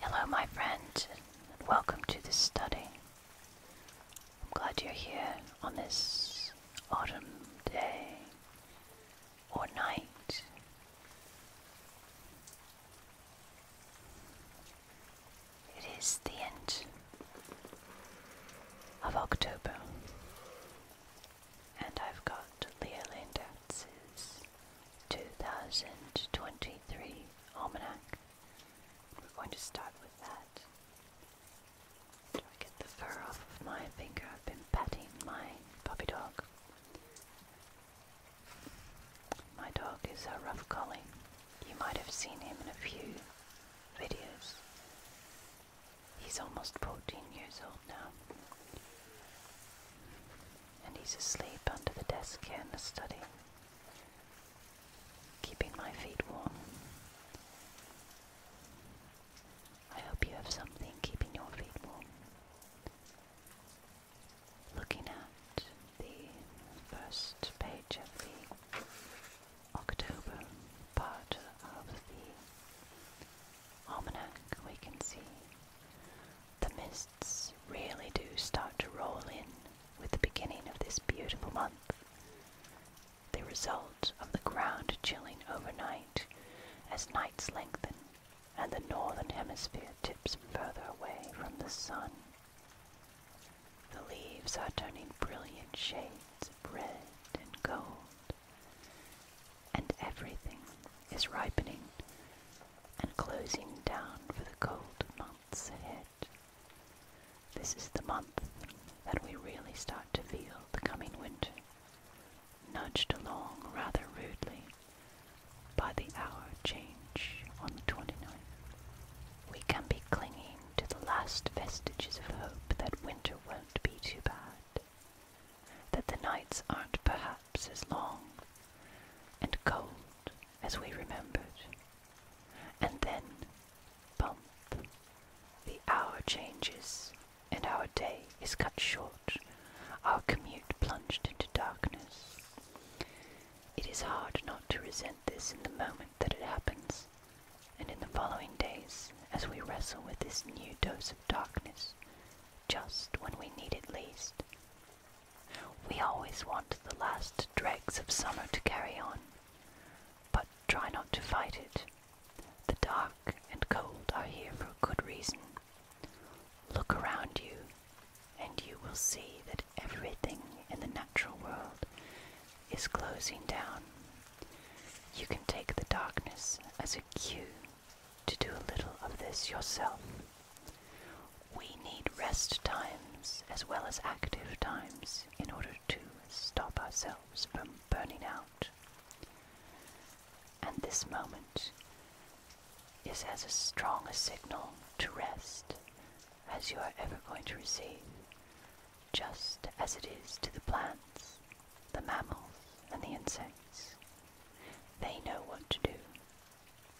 Hello, my friend, and welcome to this study. I'm glad you're here on this autumn day or night. It is the end of October, and I've got Leoland Datz's 2023 Almanac. We're going to start with that. Do I get the fur off of my finger? I've been patting my puppy dog. My dog is a rough collie. You might have seen him in a few videos. He's almost 14 years old now. And he's asleep under the desk here in the study, keeping my feet warm. I hope you have something keeping your feet warm looking at the first page of the October part of the almanac, we can see the mists really do start to roll in with the beginning of this beautiful month. The result of the ground chilling overnight as nights lengthen and the northern hemisphere tips further away from the sun. The leaves are turning brilliant shades of red and gold, and everything is ripening and closing down for the cold months ahead. This is the month that we really start to feel the coming winter, nudged along rather rudely by the hour change on the 29th. We can be clinging to the last vestiges of hope that winter won't be too bad, that the nights aren't perhaps as long and cold as we remembered. And then, bump, the hour changes and our day is cut short, our commute plunged into darkness. It is hard not to resent this in the moment that it happens, and in the following days, as we wrestle with this new dose of darkness, just when we need it least. We always want the last dregs of summer to carry on, but try not to fight it. The dark and cold are here for a good reason. Look around you and you will see that everything in the natural world is closing down. You can take the darkness as a cue to do a little of this yourself. We need rest times as well as active times in order to stop ourselves from burning out. And this moment is as strong a signal to rest as you are ever going to receive, just as it is to the plants, the mammals, and the insects. They know what to do,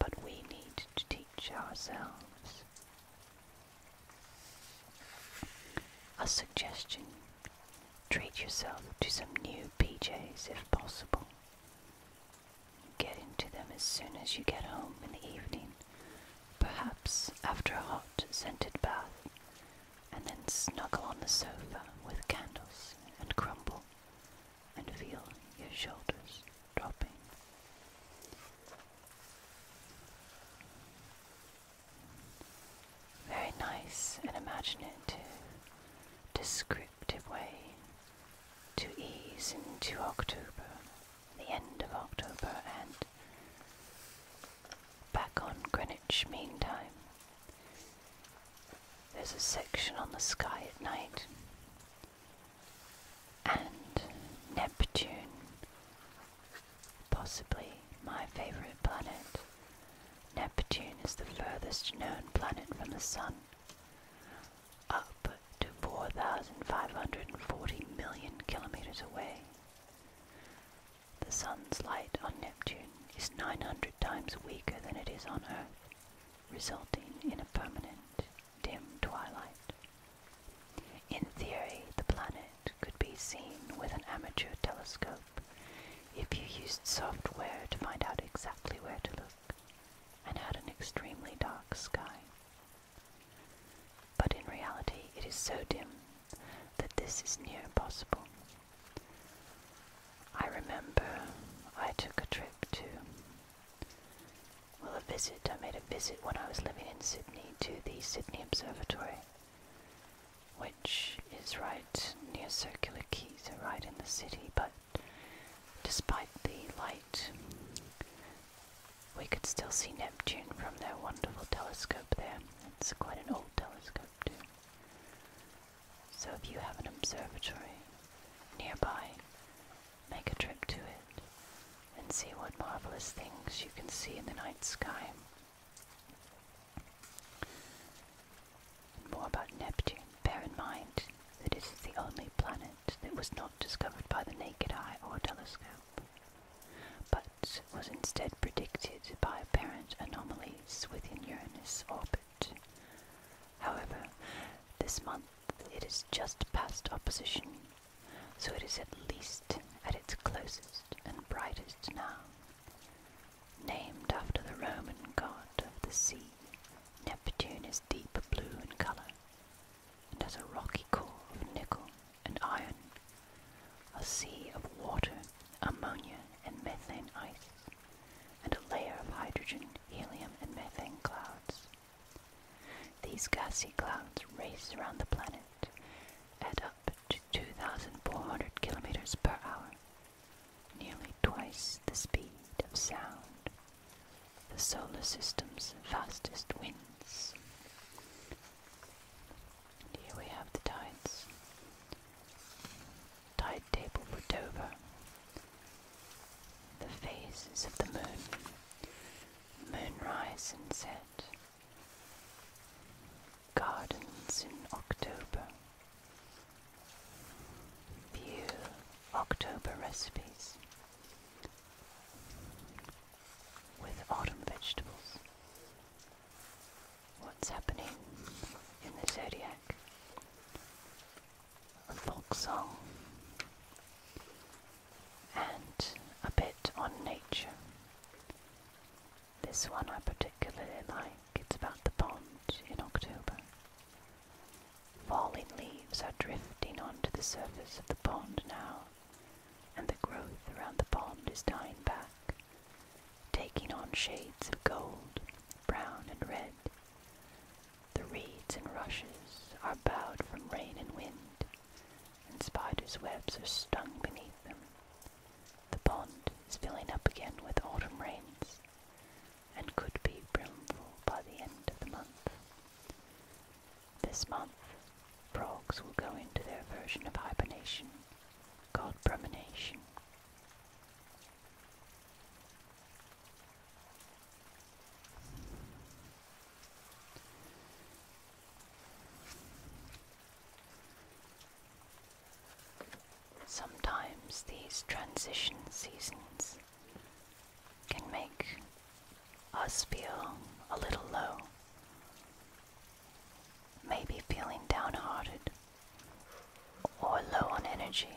but we need to teach ourselves. A suggestion treat yourself to some new PJs if possible. Get into them as soon as you get home in the evening, perhaps after a hot, scented bath, and then snuggle on the sofa with candles and crumble and feel your shoulders dropping. Very nice and imaginative, descriptive way to ease into October, the end of October, and back on Greenwich Mean Time. There's a section on the sky at night, and Neptune, possibly my favourite planet. Neptune is the furthest known planet from the Sun up to 4,540 million kilometers away. The sun's light on Neptune is 900 times weaker than it is on Earth, resulting in a permanent dim twilight. In theory, the planet could be seen with an amateur telescope if you used software to find out exactly where to look and had an extremely dark sky. But in reality, it is so dim that this is near impossible. I remember I took a trip to, well, a visit. I made a visit when I was living in Sydney to the Sydney Observatory, which is right near Circular Quay, so right in the city, but Despite the light, we could still see Neptune from that wonderful telescope there. It's quite an old telescope, too. So if you have an observatory nearby, make a trip to it and see what marvelous things you can see in the night sky. more about Neptune. Bear in mind that it is the only planet that was not discovered by the naked eye or telescope, but was instead predicted by apparent anomalies within Uranus' orbit. However, this month it is just past opposition, so it is at least at its closest and brightest now. Named after the Roman god of the sea, Neptune is deep blue in color and has a rocky core of nickel and iron, a sea of water, ammonia, and methane ice, and a layer of hydrogen, helium, and methane clouds. These gassy clouds race around the planet at up to 2,400 kilometers per hour, nearly twice the speed of sound the solar system's fastest winds. here we have the tides. Tide table for Dover. The phases of the moon. Moonrise and set. Gardens in October. View October recipes with autumn vegetables. What's happening in the zodiac? A folk song and a bit on nature. This one I particularly like. It's about the pond in October. Falling leaves are drifting onto the surface of the pond now, and the growth around the pond is dying back, taking on shades of gold, brown, and red. The reeds and rushes are bowed from rain and wind, and spiders' webs are stung beneath them. The pond is filling up again with autumn rains, and could be brimful by the end of the month. This month, frogs will go into their version of hibernation called bremination. Sometimes these transition seasons can make us feel a little low, maybe feeling downhearted or low on energy,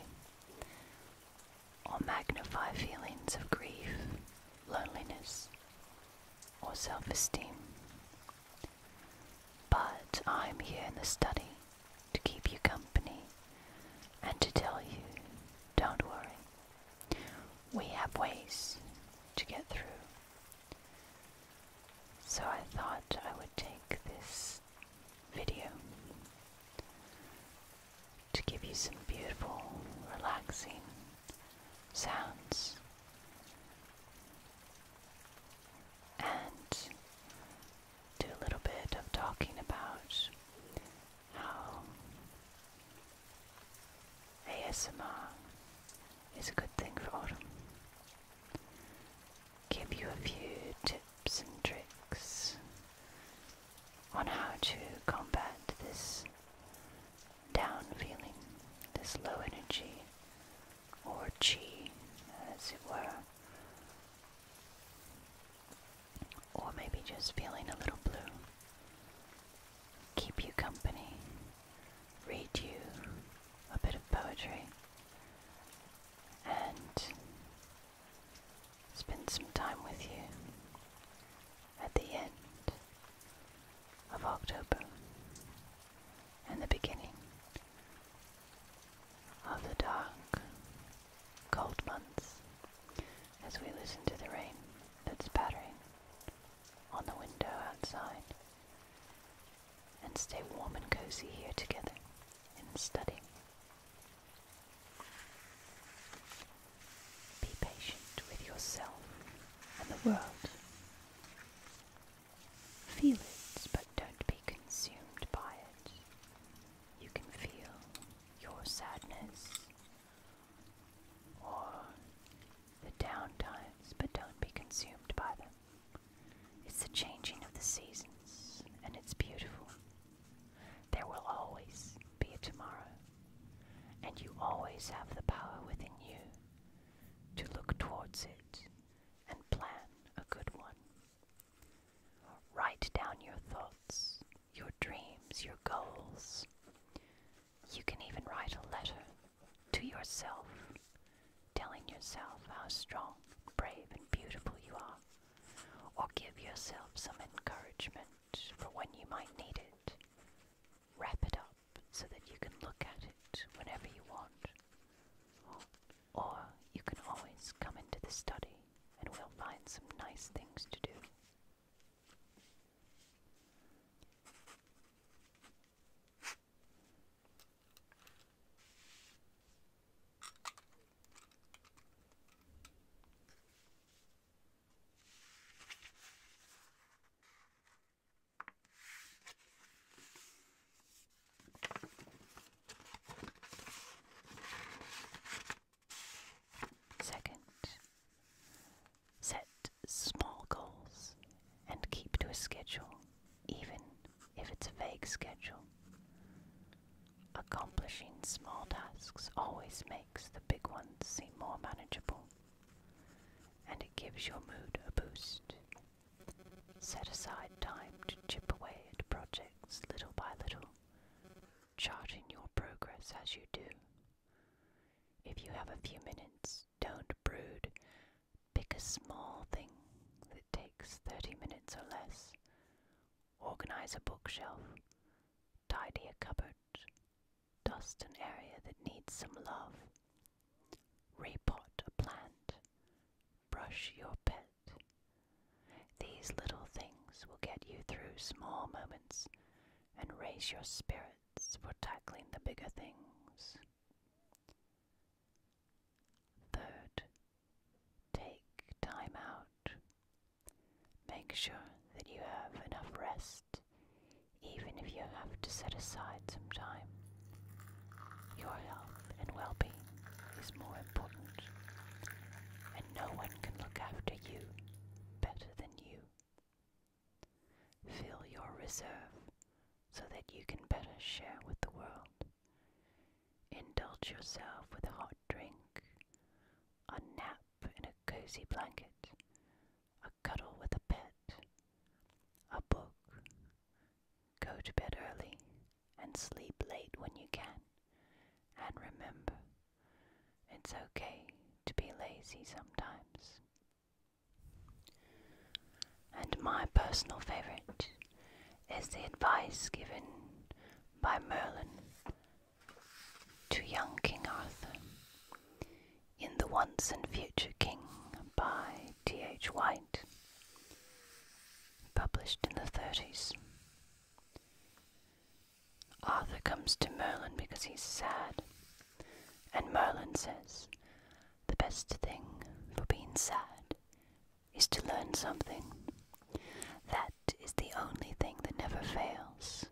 or magnify feelings of grief, loneliness, or self esteem. But I'm here in the study to keep you company and to tell you, don't worry, we have ways to get through. So I thought I would take this video to give you some beautiful, relaxing sounds and do a little bit of talking about how ASMR is a good thing for autumn. Give you a few tips and tricks on how to combat this down feeling, this low energy, or chi, as it were or maybe just feeling a little blue, keep you company, read you a bit of poetry, and spend some time with you at the end of October and the beginning of the dark cold months as we listen to the rain that's pattering on the window outside and stay warm and cozy here together in the study. Be patient with yourself and the world. Feel it, but don't be consumed by it. You can feel your sadness or the downtimes, but don't be consumed by them. It's the changing of the seasons, and it's beautiful. There will always be a tomorrow, and you always have the power within you to look towards it and plan a good one. Write down your thoughts your dreams, your goals. You can even write a letter to yourself, telling yourself how strong, brave, and beautiful you are, or give yourself some encouragement for when you might need it. Wrap it up so that you can look at it whenever you want. Or you can always come into the study and we'll find some nice things to do. Second, set small goals and keep to a schedule, even if it's a vague schedule. Accomplishing small tasks always makes the big ones seem more manageable, and it gives your mood a boost. Set aside time to chip away at projects little by little, charting your progress as you do. If you have a few minutes, don't brood. Pick a small thing that takes 30 minutes or less. Organize a bookshelf. Tidy a cupboard. Dust an area that needs some love. Repot a plant. Brush your pet these little things will get you through small moments and raise your spirits for tackling the bigger things. Third, take time out. Make sure that you have enough rest, even if you have to set aside some time. Your health and well being is more important no one can look after you better than you. Fill your reserve so that you can better share with the world. Indulge yourself with a hot drink, a nap in a cozy blanket, a cuddle with a pet, a book. Go to bed early and sleep late when you can. And remember, it's okay to be lazy sometimes. And my personal favorite is the advice given by Merlin to young King Arthur in The Once and Future King by T.H. White, published in the 30s. Arthur comes to Merlin because he's sad, and Merlin says, The best thing for being sad is to learn something. That is the only thing that never fails.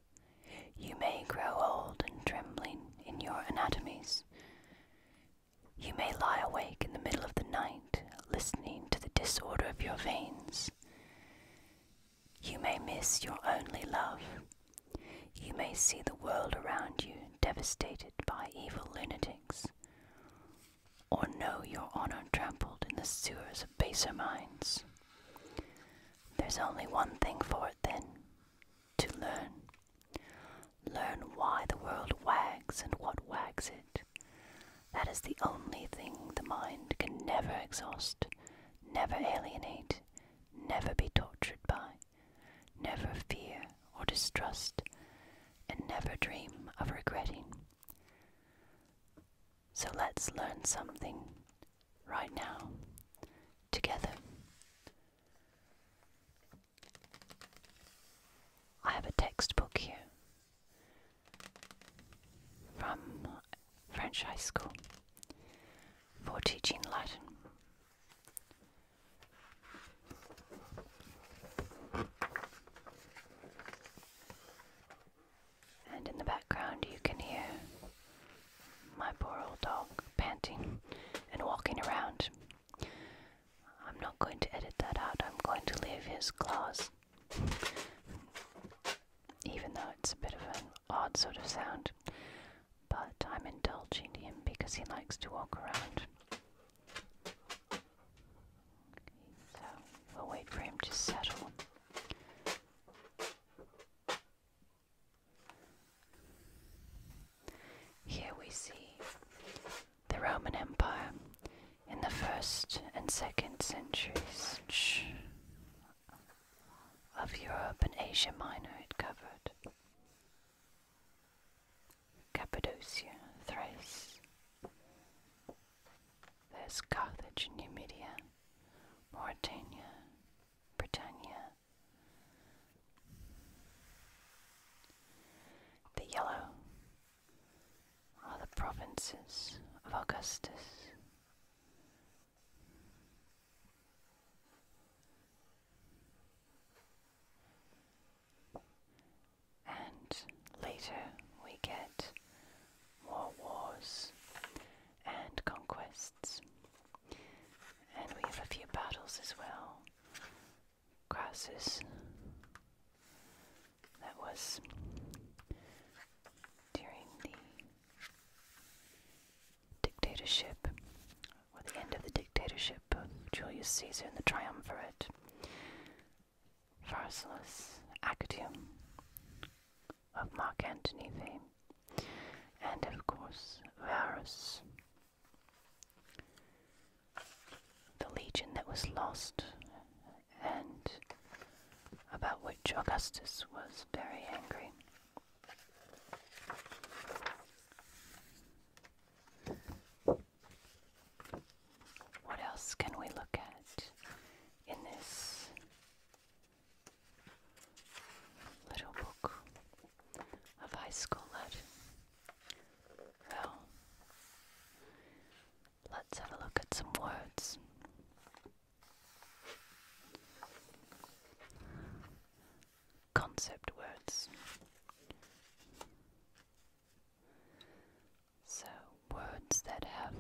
You may grow old and trembling in your anatomies. You may lie awake in the middle of the night, listening to the disorder of your veins. You may miss your only love. You may see the world around you devastated by evil lunatics, or know your honor trampled in the sewers of baser minds. There's only one thing for it then to learn. Learn why the world wags and what wags it. That is the only thing the mind can never exhaust, never alienate, never be tortured by, never fear or distrust, and never dream of regretting. So let's learn something right now, together. I have a textbook here from French high school for teaching Latin. And in the background, you can hear my poor old dog panting and walking around. I'm not going to edit that out, I'm going to leave his claws even though it's a bit of an odd sort of sound, but I'm indulging him because he likes to walk around. So we'll wait for him to settle. Here we see the Roman Empire in the first and second centuries of Europe and Asia Minor, it covered Cappadocia, Thrace. There's Carthage and Numidia, Mauritania, Britannia. The yellow are the provinces of Augustus. And later we get more wars and conquests. And we have a few battles as well. Crassus that was during the dictatorship, or the end of the dictatorship of Julius Caesar and the triumvirate, Pharsalus, Actium, of Mark Antony fame, and of course Varus the legion that was lost and about which Augustus was very angry. What else can we look at in this little book of high school Latin? Well, Let's have a look at some words. Concept words. So, words that have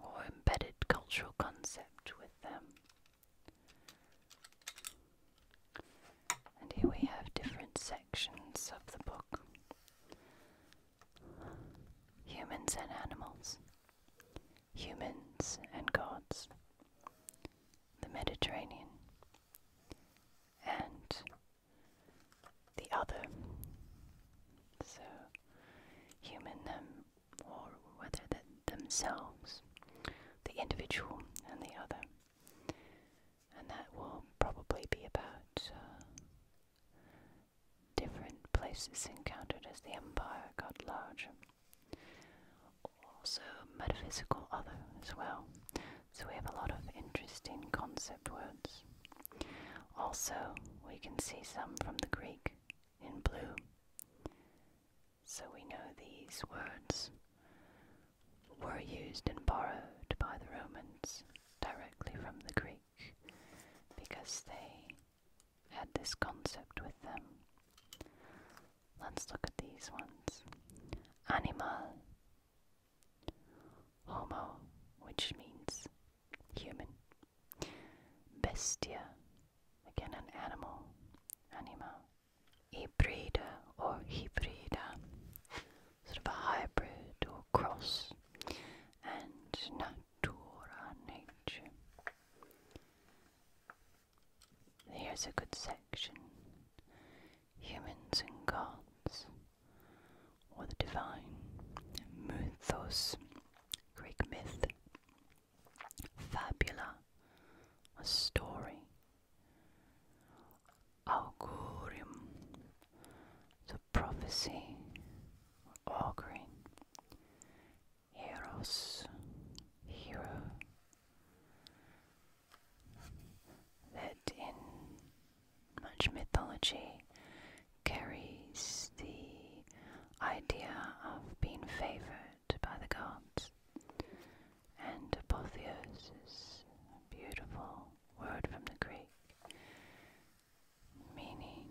or embedded cultural concept with them. And here we have different sections of the book humans and animals, humans and gods, the Mediterranean, and the other. So, human them, or whether that themselves, the individual and the other. And that will probably be about uh, different places encountered as the empire got larger. Also, metaphysical other as well. So, we have a lot of interesting concept words. Also, we can see some from the Greek in blue. So, we know these words were used and borrowed by the Romans directly from the Greek because they had this concept with them. Let's look at these ones. Animal, homo, which means human, bestia, again an animal, anima, hybrida or hybrida, sort of a hybrid or cross, and natura nature. Here's a good section Humans and Gods, or the Divine, Mythos, Greek myth, Fabula, a story, Augurum, the prophecy, auguring, Heroes, hero, that in much mythology carries the idea of being favored by the gods. And apotheosis, beautiful word from the Greek, meaning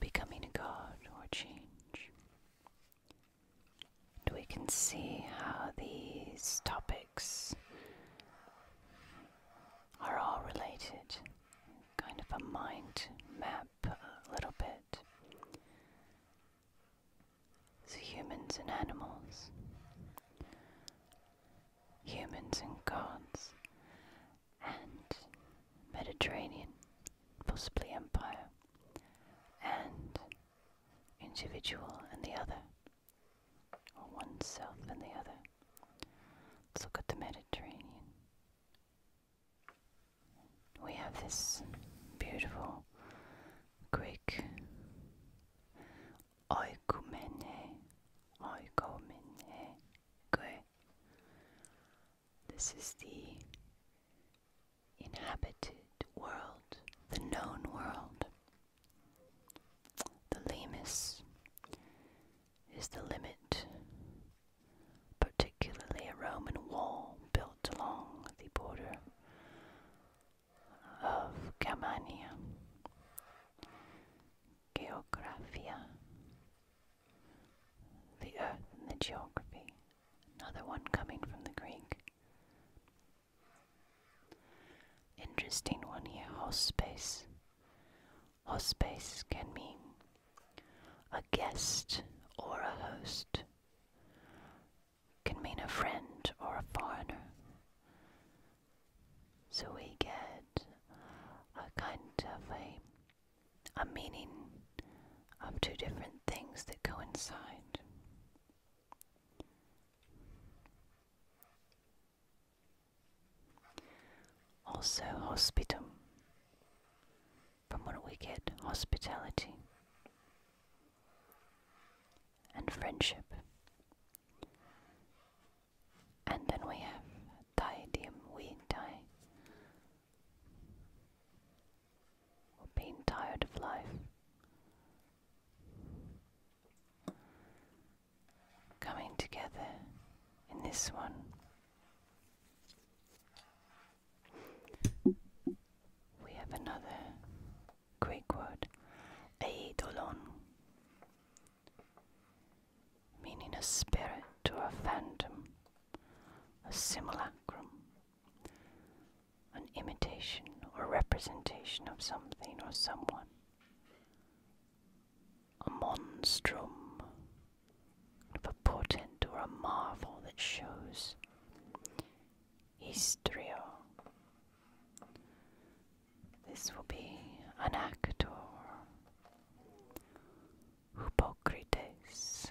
becoming a god or change. And we can see how these topics are all related, kind of a mind map, a little bit. So, humans and animals, humans and gods, and Mediterranean, possibly empire, and individual and the other, or oneself and the other. Let's look at the Mediterranean. We have this beautiful Greek oikumene, oikomene, gue. This is the inhabited world, the known world. The limus is the limit, particularly a Roman wall built along the border of Germania, Geographia, the earth and the geography, another one coming from the Greek. Interesting one here, hospes. Hospes can mean a guest or a host can mean a friend or a foreigner. So we get a kind of a, a meaning of two different things that coincide. Also, hospitum, from what we get hospitality and friendship. And then we have Thai Dim Wien Thai. Or being tired of life. Coming together in this one. We have another Greek word eidolon, meaning a spirit or a phantom, a simulacrum, an imitation or representation of something or someone, a monstrum, of a portent or a marvel that shows. Histrio, this will be an actor, Hippocrates,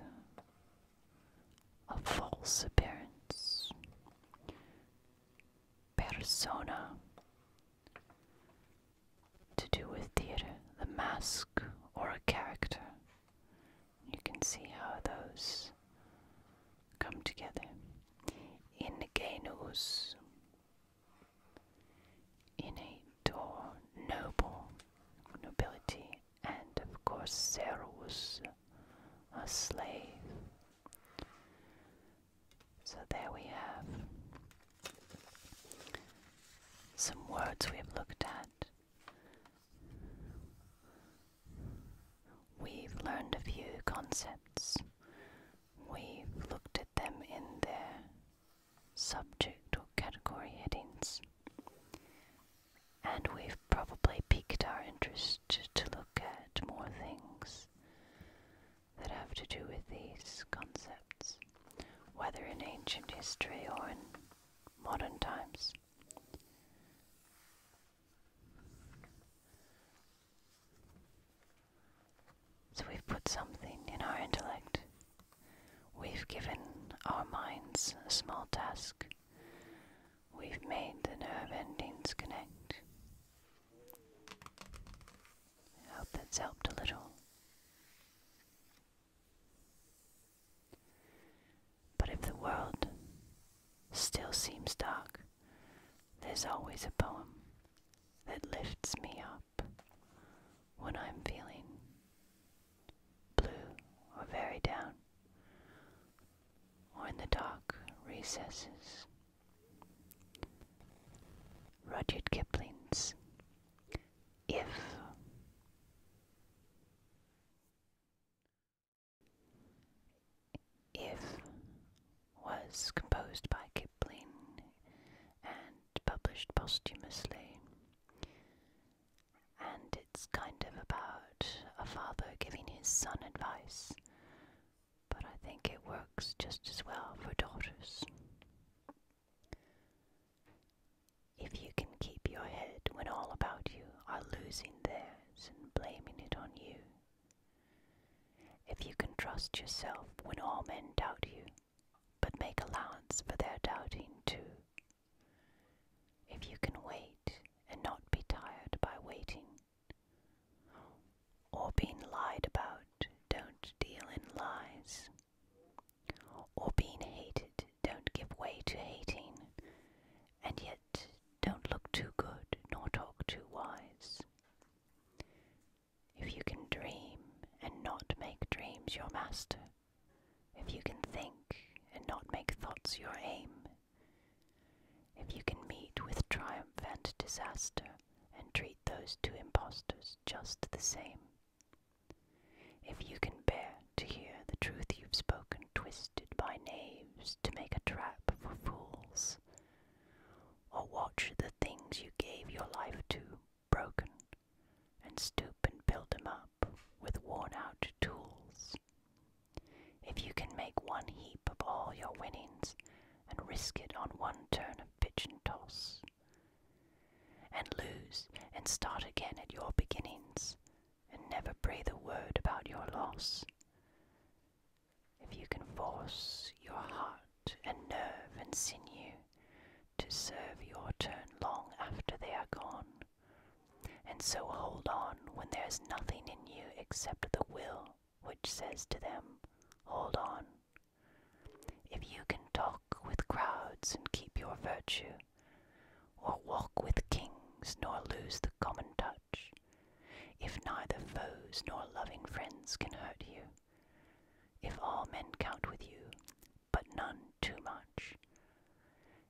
a false appearance, persona, to do with theater, the mask or a character. You can see how those come together in genus in a door noble nobility and of course servus a slave so there we have some words we have looked at We've learned a few concepts. We've looked at them in their subject or category headings. And we've probably piqued our interest to look at more things that have to do with these concepts, whether in ancient history or in modern times. So we've put something in our intellect. We've given our minds a small task. We've made the nerve endings connect. I hope that's helped a little. But if the world still seems dark, there's always a poem that lifts me up when I'm feeling blue or very down, or in the dark recesses. Rudyard Kipling's If. If was composed by Kipling and published posthumously, and it's kind of about a father giving his son advice, but I think it works just as well for daughters. If you can keep your head when all about you are losing theirs and blaming it on you, if you can trust yourself when all men doubt you, but make allowance for their doubting too. If you can wait and not be tired by waiting, or being lied about, don't deal in lies, or being hated, don't give way to hating, and yet don't look too good nor talk too wise. If you can dream and not make dreams your master, if you can think and not make thoughts your aim, if you can meet with triumph and disaster and treat those two impostors just the same, if you can bear to hear the truth you've spoken twist by knaves to make a trap for fools. Or watch the things you gave your life to broken, and stoop and build them up with worn out tools. If you can make one heap of all your winnings and risk it on one turn of pitch and toss, and lose and start again at your beginnings, and never breathe a word about your loss, if you can force your heart and nerve and sinew to serve your turn long after they are gone, and so hold on when there is nothing in you except the will which says to them, Hold on. If you can talk with crowds and keep your virtue, or walk with kings nor lose the common touch, if neither foes nor loving friends can hurt you, if all men count with you, but none too much,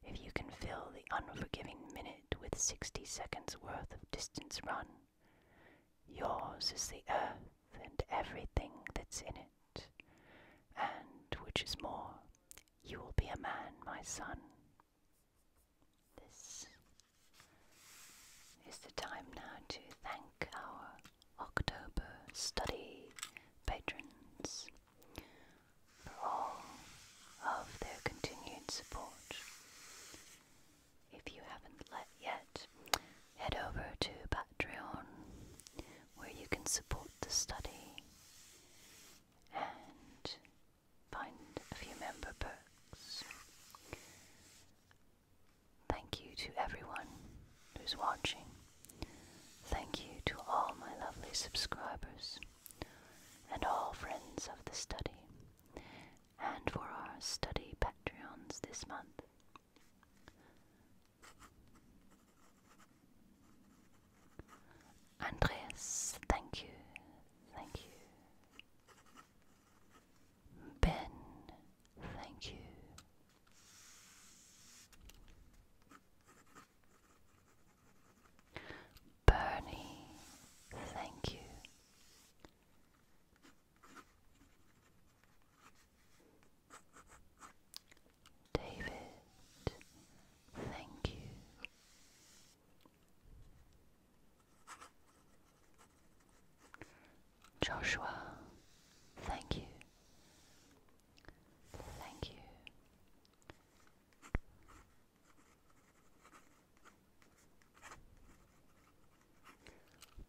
if you can fill the unforgiving minute with sixty seconds worth of distance run, yours is the earth and everything that's in it, and which is more, you will be a man, my son. This is the time now to thank our October study patrons for all of their continued support. If you haven't yet, head over to Patreon where you can support the study find a few member books. Thank you to everyone who's watching. Thank you to all my lovely subscribers and all friends of the study, and for our study Patreons this month. Andreas, thank you, thank you. Ben, thank you. Bernie, thank you. David, thank you. Joshua, thank you. Thank you.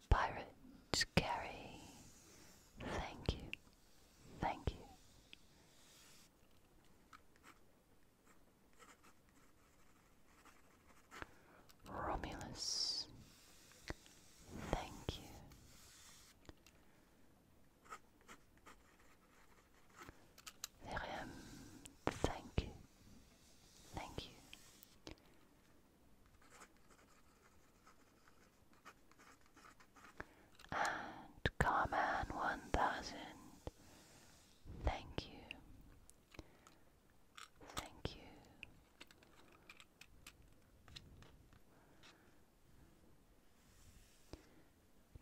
Pirate Gary, thank you. Thank you. Romulus, thank you. Miriam, thank you. Thank you. And Carman one thousand. Thank you. Thank you.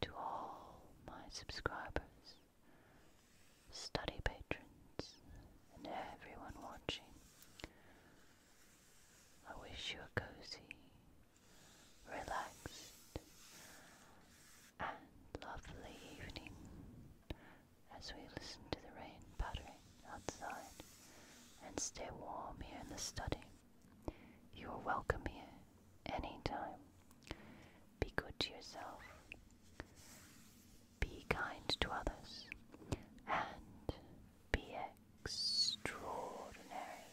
To all my subscribers, study patrons, and everyone watching, I wish you a cozy, relaxed, and lovely evening as we listen to the rain pattering outside and stay warm here in the study. You are welcome here any time. Be good to yourself. Be kind to others. And be extraordinary.